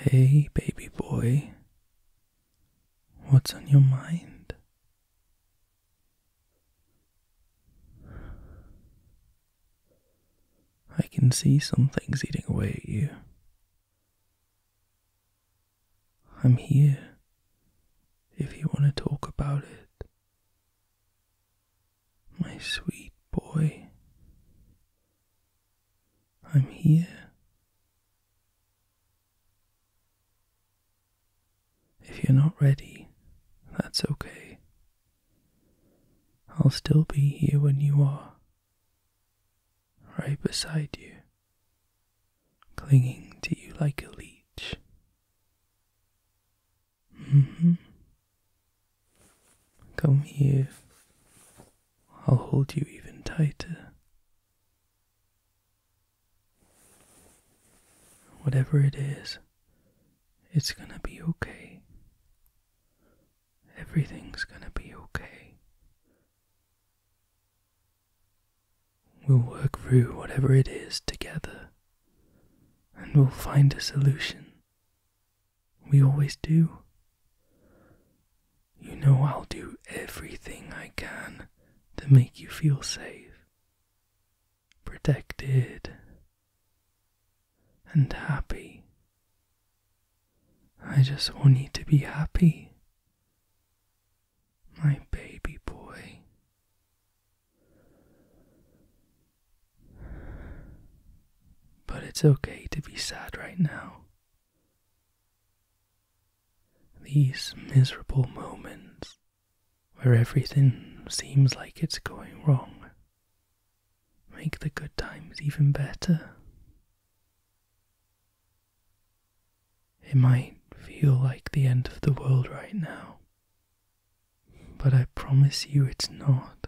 Hey, baby boy, what's on your mind? I can see some things eating away at you. I'm here if you want to talk about it. My sweet boy, I'm here. If you're not ready, that's okay. I'll still be here when you are, right beside you, clinging to you like a leech. Mm-hmm. Come here. I'll hold you even tighter. Whatever it is, it's gonna be okay. Everything's gonna be okay. We'll work through whatever it is together, and we'll find a solution. We always do. You know I'll do everything I can to make you feel safe, protected, and happy. I just want you to be happy my baby boy. But it's okay to be sad right now. These miserable moments where everything seems like it's going wrong make the good times even better. It might feel like the end of the world right now. But I promise you it's not.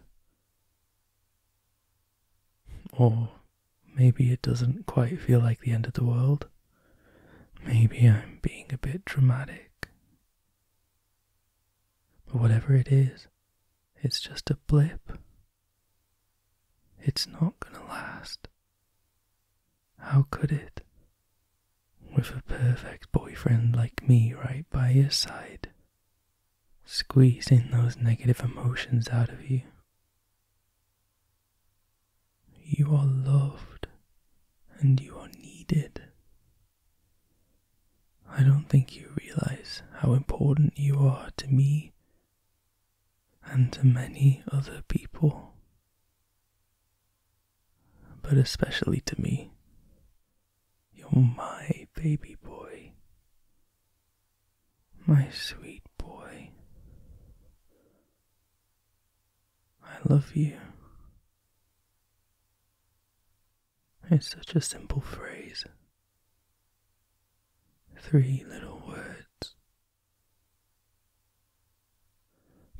Or maybe it doesn't quite feel like the end of the world. Maybe I'm being a bit dramatic. But whatever it is, it's just a blip. It's not gonna last. How could it? With a perfect boyfriend like me right by your side, squeeze in those negative emotions out of you. You are loved and you are needed. I don't think you realize how important you are to me and to many other people but especially to me. You're my baby boy, my sweet boy. I love you. It's such a simple phrase. Three little words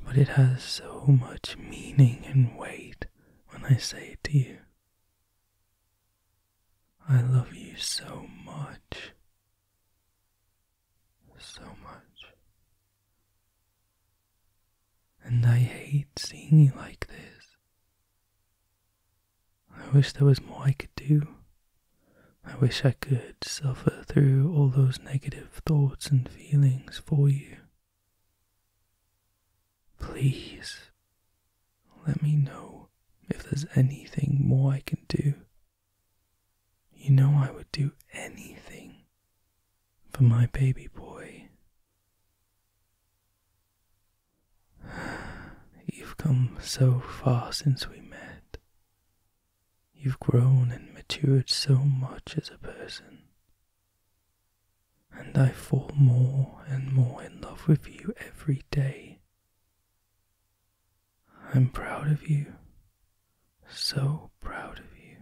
but it has so much meaning and weight when I say it to you. I love you so much. So much. And I hate seeing you like this. I wish there was more I could do. I wish I could suffer through all those negative thoughts and feelings for you. Please let me know if there's anything more I can do. You know, I would do anything for my baby boy. You've come so far since we met, You've grown and matured so much as a person. And I fall more and more in love with you every day. I'm proud of you. So proud of you.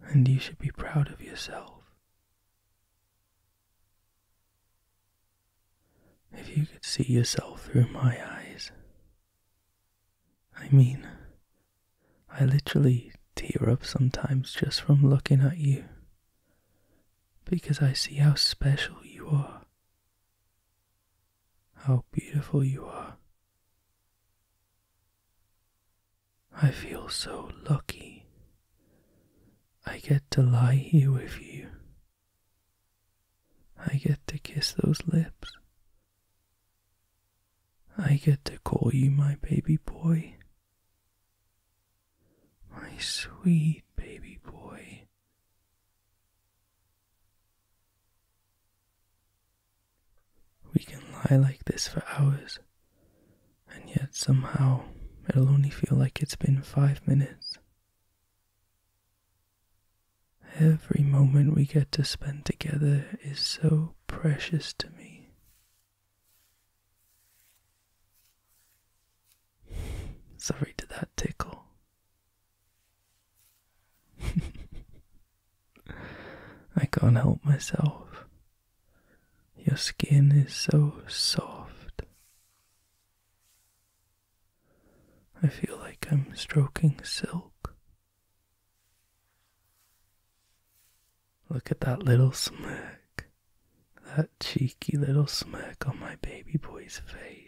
And you should be proud of yourself. If you could see yourself through my eyes, I mean, I literally tear up sometimes just from looking at you because I see how special you are, how beautiful you are. I feel so lucky. I get to lie here with you I get to kiss those lips. I get to call you my baby boy. My sweet baby boy. We can lie like this for hours, and yet somehow it'll only feel like it's been five minutes. Every moment we get to spend together is so precious to me. Sorry to that tickle. I can't help myself. Your skin is so soft. I feel like I'm stroking silk. Look at that little smirk, that cheeky little smirk on my baby boy's face.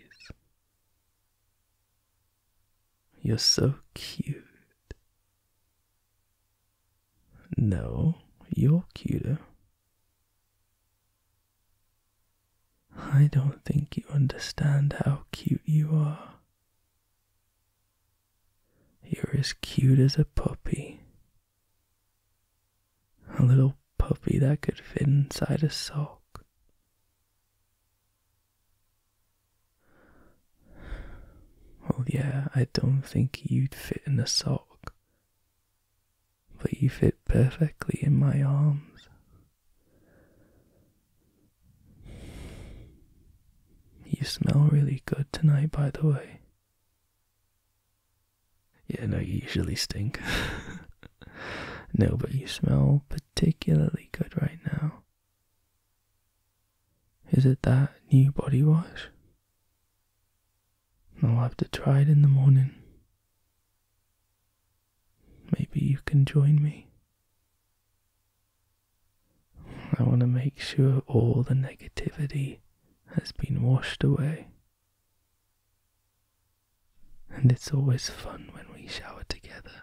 You're so cute. No, you're cuter. I don't think you understand how cute you are. You're as cute as a puppy. A little puppy that could fit inside a sock. Well, yeah, I don't think you'd fit in a sock, but you fit perfectly in my arms. You smell really good tonight, by the way. Yeah, no, you usually stink. no, but you smell particularly good right now. Is it that new body wash? I'll have to try it in the morning. Maybe you can join me. I want to make sure all the negativity has been washed away. And it's always fun when we shower together.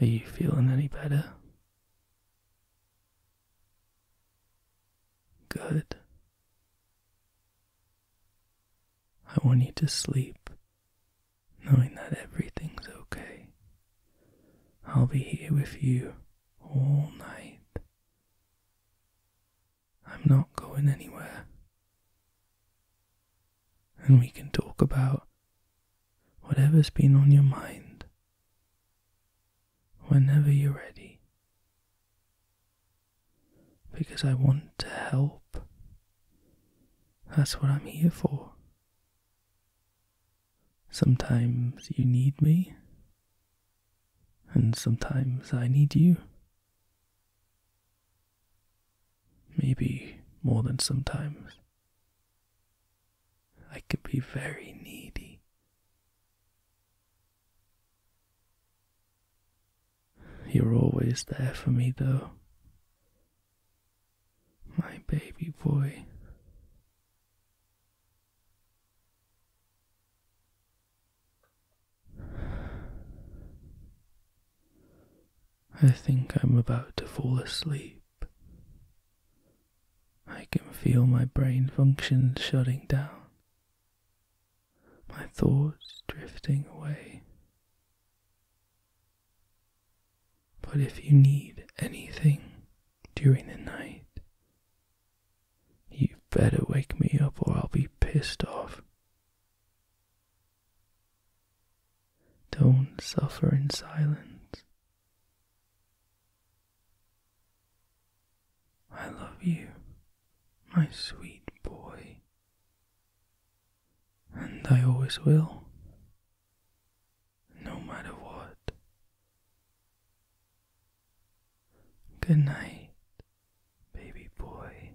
Are you feeling any better? Good. I want you to sleep knowing that everything's okay. I'll be here with you all night. I'm not going anywhere. And we can talk about whatever's been on your mind whenever you're ready. Because I want to help. That's what I'm here for. Sometimes you need me, and sometimes I need you. Maybe more than sometimes. I can be very needy. You're always there for me, though. My baby boy. I think I'm about to fall asleep. I can feel my brain functions shutting down, my thoughts drifting away. But if you need anything during the night, you better wake me up or I'll be pissed off. Don't suffer in silence. I love you, my sweet boy, and I always will, no matter what. Good night, baby boy.